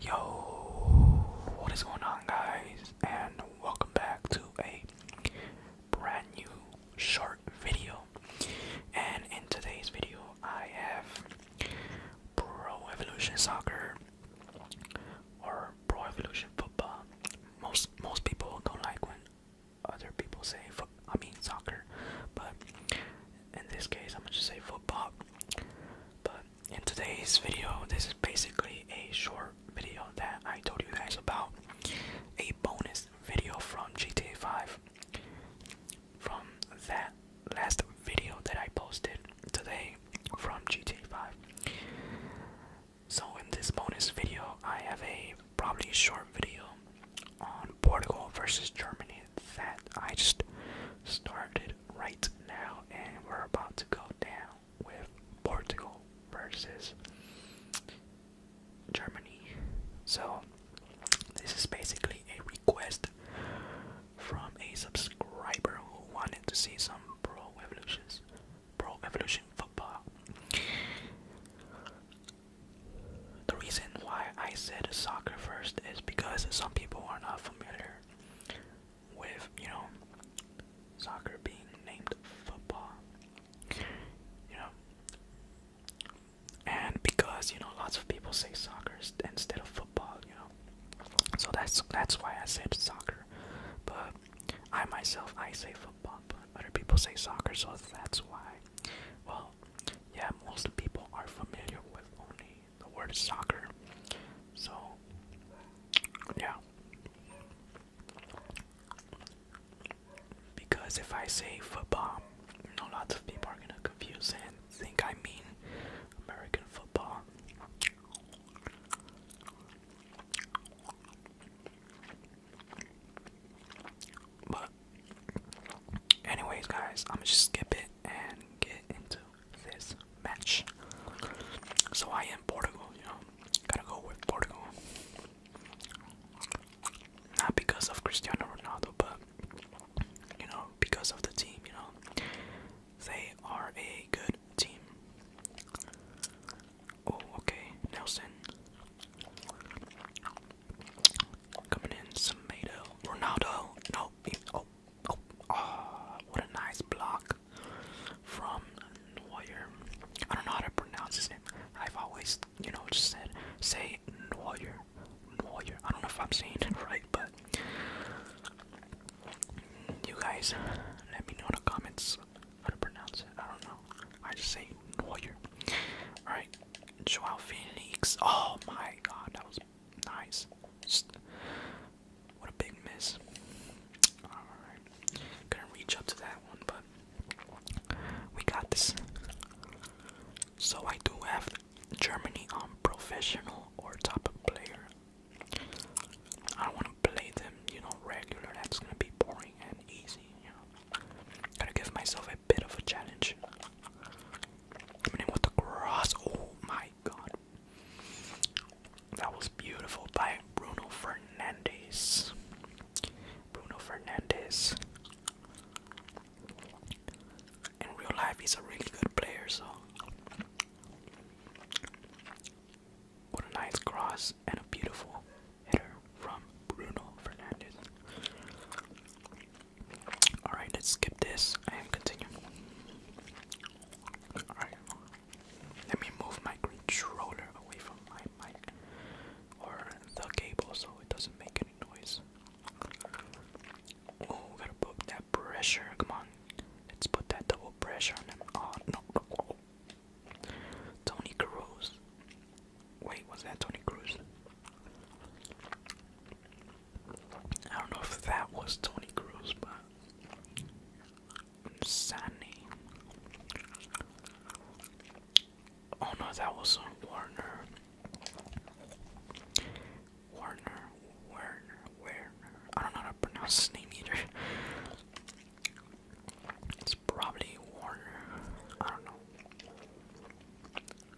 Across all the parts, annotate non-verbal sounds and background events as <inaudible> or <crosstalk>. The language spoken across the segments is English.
Yo, what is going on, guys? And welcome back to a brand new short video. And in today's video, I have Pro Evolution Soccer or Pro Evolution Football. Most most people don't like when other people say I mean soccer, but in this case I'm gonna just say football. But in today's video, this is basically a short video that I told you guys about, a bonus video from GTA 5 from that last video that I posted today from GTA 5. So in this bonus video, I have a probably short video on Portugal versus Germany that I just started right now, and we're about to go down with Portugal versus Germany. So, this is basically a request from a subscriber who wanted to see some pro evolutions, pro evolution football. The reason why I said soccer first is because some people are not familiar with, you know, soccer being named football. You know? And because, you know, lots of people say soccer instead of football, you know. So that's that's why I said soccer. But I myself I say football, but other people say soccer, so that's why well, yeah, most people are familiar with only the word soccer. So, yeah. Because if I say football, you know, lots of people are gonna confuse and think I mean American football. But anyways guys, I'ma skip it and get into this match. So I am Portugal, you know. Gotta go with Portugal. Not because of Cristiano Ronaldo, but you know, because of the team, you know. They are a good team. Oh, okay. Nelson. Coming in, Samedo. Ronaldo. No. Oh, oh, oh, what a nice block from Neuer. I don't know how to pronounce his name. I've always, you know, just said, say Neuer. Neuer. I don't know if I'm saying it <laughs> right, but you guys let me know in the comments how to pronounce it. I don't know. I just say Neuer. Alright, Joao Phoenix. Oh my god, that was nice. what a big miss. Alright. Couldn't reach up to that one, but we got this. So I do have Germany on professional or top player. I don't want to play them, you know, regular. That's gonna be boring and easy, you know. Gotta give myself a bit of a challenge. Hitting with the cross. Oh my god. That was beautiful by Bruno Fernandez. Bruno Fernandez. In real life, he's a really good player, so. What a nice cross and a beautiful hitter from Bruno Fernandez. Alright, let's skip this and continue. Alright. Let me move my controller away from my mic or the cable so it doesn't make any noise. Oh, gotta put that pressure. Come on. Let's put that double pressure on Oh, no. Tony Cruz. Wait, was that Tony Cruz? I don't know if that was Tony Cruz, but Sani. Oh no, that was on um, Warner. Warner, Werner, Werner. I don't know how to pronounce his name either. It's probably Warner. I don't know.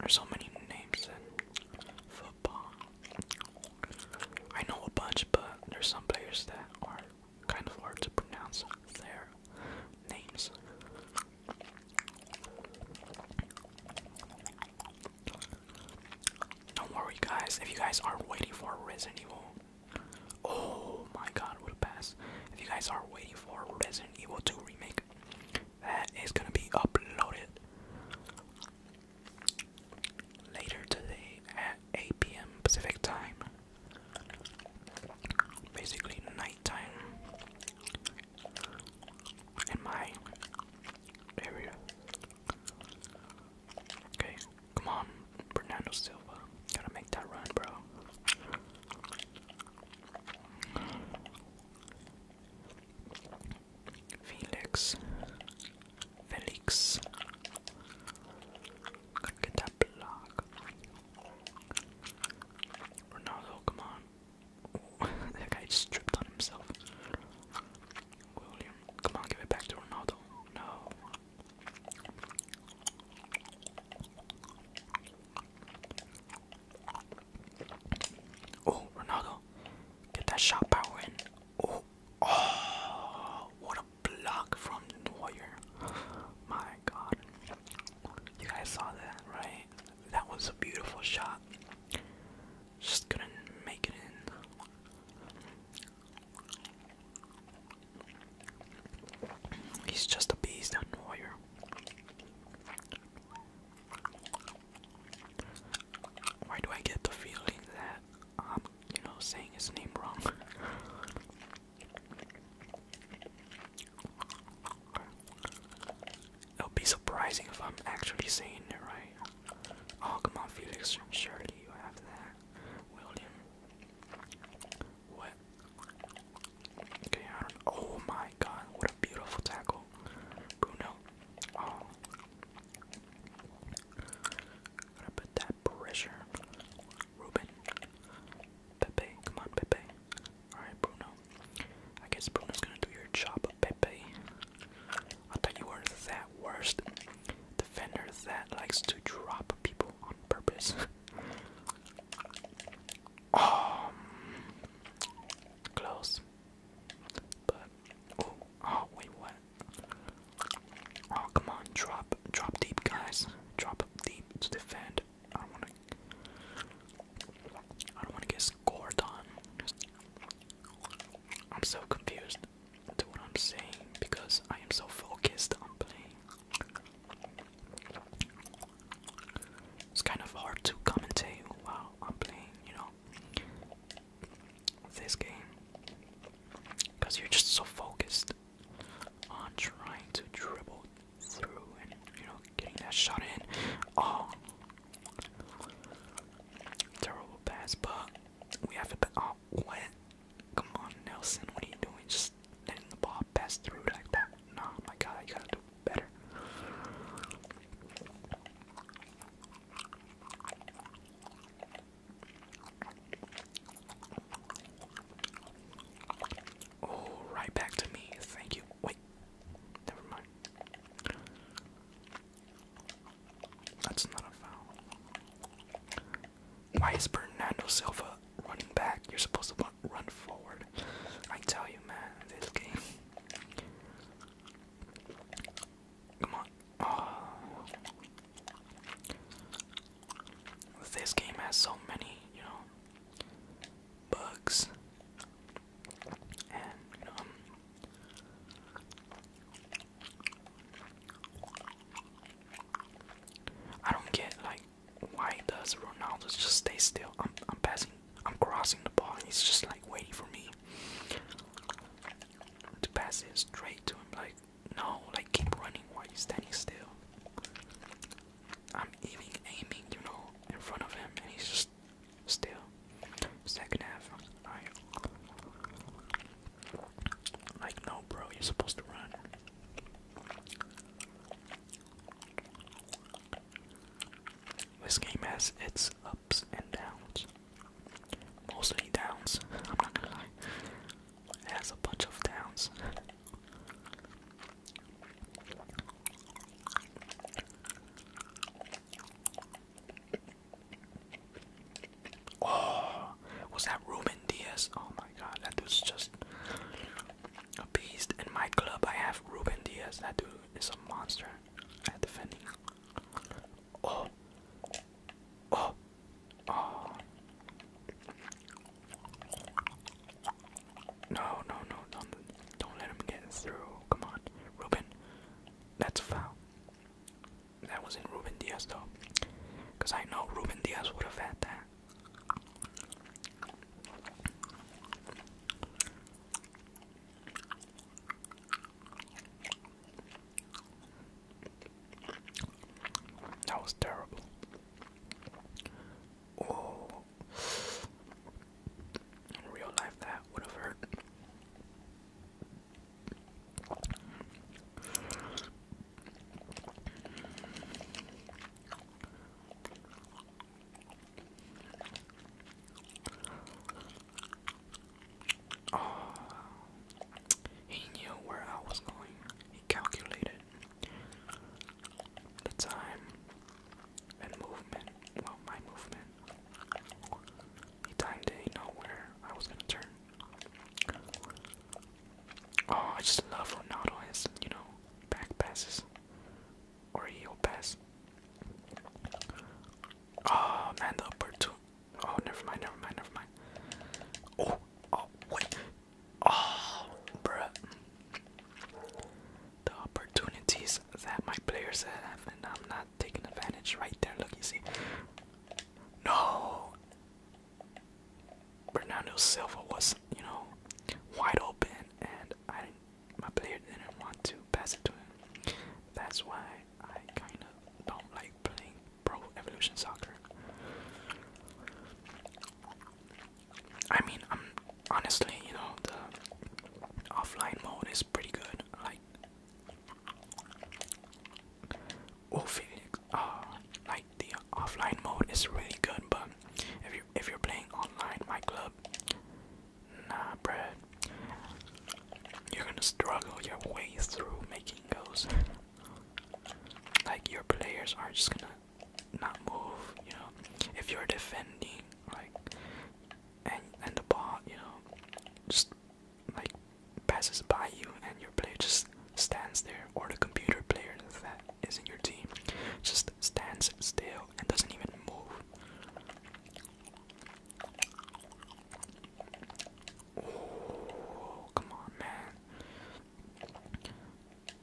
There's so many names in football. I know a bunch, but there's some players that are kind of hard to pronounce their names. Don't worry, guys. If you guys are waiting for Resident Evil, oh my God, what a pass! If you guys are waiting for Resident Evil 2 remake, that is gonna be uploaded later today at 8 p.m. Pacific time. Basically nighttime in my area. Okay, come on, Bernardo Silva. Gotta make that run, bro. Felix, Felix. Gotta that block. Ronaldo, come on. <laughs> that guy just tripped on himself. William, come on, give it back to Ronaldo. No. Oh, Ronaldo, get that shot power in. Oh, oh, what a block from Neuer. My God, you guys saw that, right? That was a beautiful shot. Just couldn't make it in. He's just a beast, that Neuer. Why do I get the feeling that I'm, um, you know, saying his name wrong? <laughs> It'll be surprising if I'm actually saying it right. Oh, come on, Felix. Surely you have that. William. What? Okay, Oh my my god, what a beautiful tackle. Bruno. Oh. Gotta put that pressure. Ruben. Pepe. Come on, Pepe. Alright, Bruno. I guess Bruno's gonna do your job, Pepe. I thought you were that worst defender that likes to drop people on purpose. <laughs> um, Close. But oh, oh what? Oh come on, drop, drop deep, guys. Drop deep to defend. I don't wanna, I don't wanna get scored on. I'm so confused to what I'm saying because I am so focused on playing. It's kind of hard to commentate while I'm playing, you know, this game. Because you're just so focused on trying to dribble through and, you know, getting that shot in. Oh, terrible pass, but we have a Oh, what? Come on, Nelson, what are you doing? Just letting the ball pass through like that. Nah, my God, you gotta do Oh, right back to me. Thank you. Wait, never mind. That's not a foul. Why is Bernardo Silva running back? You're supposed to run forward. I tell you, man, this game. Come on. Oh. This game has so many, you know, bugs. And, um,. I don't get like why does Ronaldo just stay still? I'm I'm passing I'm crossing the ball, and he's just like waiting for me to pass it straight to him. Like, no, like keep running while you're standing still. I'm even aiming, you know, in front of him, and he's just still. Second half, like no, bro, you're supposed to run. This game has its ups and downs. Mostly downs, <laughs> I'm not gonna lie. It has a bunch of downs. Oh, was that Ruben Diaz? Oh my god, that dude's just a beast. In my club, I have Ruben Diaz. That dude is a monster defending. Oh, oh, oh! No, no, no! do don't let him get through. Come on, Ruben. That's foul. That wasn't Ruben Diaz though, because I know Ruben Diaz would have had that. That was terrible. Oh, in real life, that would have hurt. Oh. he knew where I was going. He calculated the time and movement. Well, my movement. He timed it. He know where I was gonna turn. Oh, I just love Ronaldo's, you know, back passes or he'll pass. Oh man, the upper Oh, never mind, never mind, never mind. Oh, oh, wait. Oh, bruh. The opportunities that my players have, and I'm not taking advantage right there. Look, you see. No! Bernardo Silva was, you know, wide open, and I my player didn't want to pass it to him. That's why I kind of don't like playing Pro Evolution Soccer. I mean, i honestly, you know, the offline mode is pretty good. Like, oh, Felix, uh, like the offline mode is really good. But if you if you're playing online, my club, Nah, bruh. You're gonna struggle your way through making those. Like, your players are just gonna not move, you know. If you're defending, like, and, and the ball, you know, just like passes by you and your player just stands there, or the computer player that isn't your team just stands still and doesn't even move. come on, man.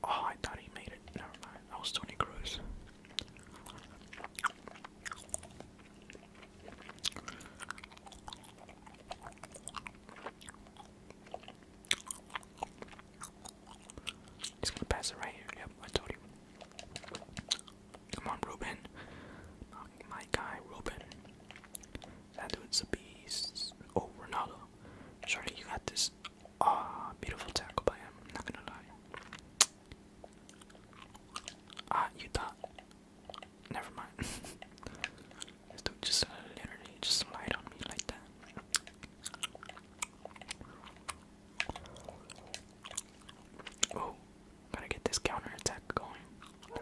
Oh, I thought he made it. Never mind. That was Tony Cruz. He's gonna pass it right here. Yep, I told you. Come on, Ruben. My guy, Ruben. That dude's a beast. Oh, Ronaldo. Sorry, you got this. Ah, beautiful tackle by him. not gonna lie. Ah, you thought. Never mind. <laughs> dude just uh, literally just lied on me like that. Oh, gotta get this counter attack going.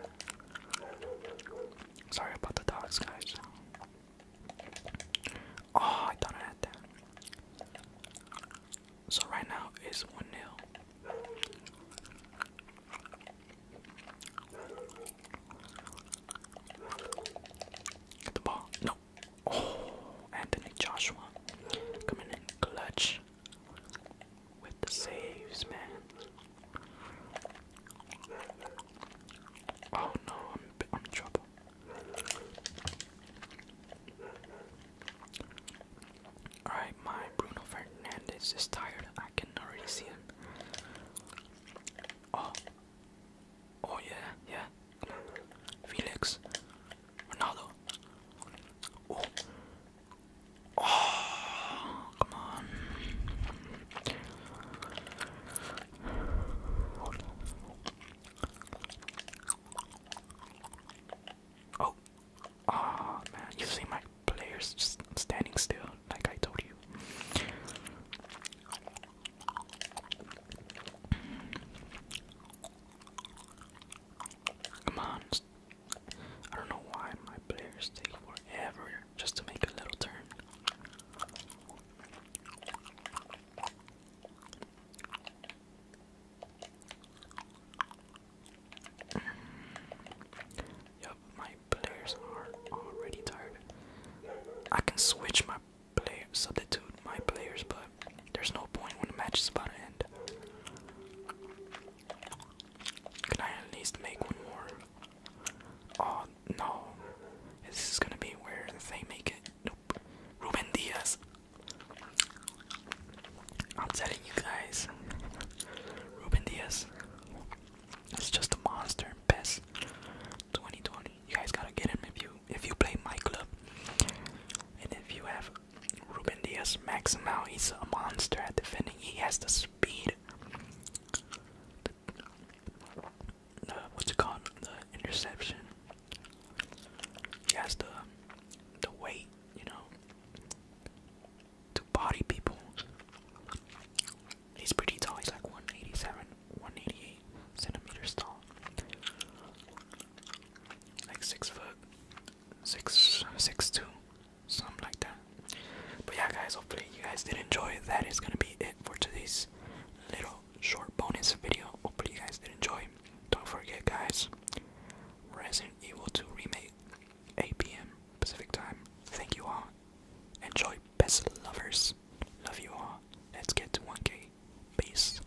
Sorry about the dogs, guys. Oh, I thought I had that. So right now it's one 0 Get the ball. No. Oh, Anthony Joshua coming in clutch with the saves, man. Oh no, I'm I'm in trouble. Alright, my Bruno Fernandez is tired. I can already see him. Oh, oh yeah, yeah. Felix. Ronaldo. Oh. come on. Oh, oh man, you see my players just standing still, like I told you. Come on. I don't know why my players take forever just to make a little turn. Mm. Yup, my players are already tired. I can switch my player substitute my players, but there's no point when the match is about to end. Can I at least make one more? Oh no, this is gonna be where they make it. Nope, Ruben Diaz. I'm telling you guys, Ruben Diaz It's just a monster. Best 2020. You guys gotta get him if view if you play my club. And if you have Ruben Diaz max him he's a monster at defending. He has the speed. The, what's it called? The interception. He has the the weight, you know, to body people. He's pretty tall. He's like 187, 188 centimeters tall like six foot, six six two, something like that. But yeah, guys, hopefully you guys did enjoy. That is gonna be it for today's little short bonus video. Hopefully you guys did enjoy. Don't forget, guys, Resident Evil 2 remake, 8 p.m. Pacific time. Thank you all. Enjoy, best lovers. Love you all. Let's get to 1K. Peace.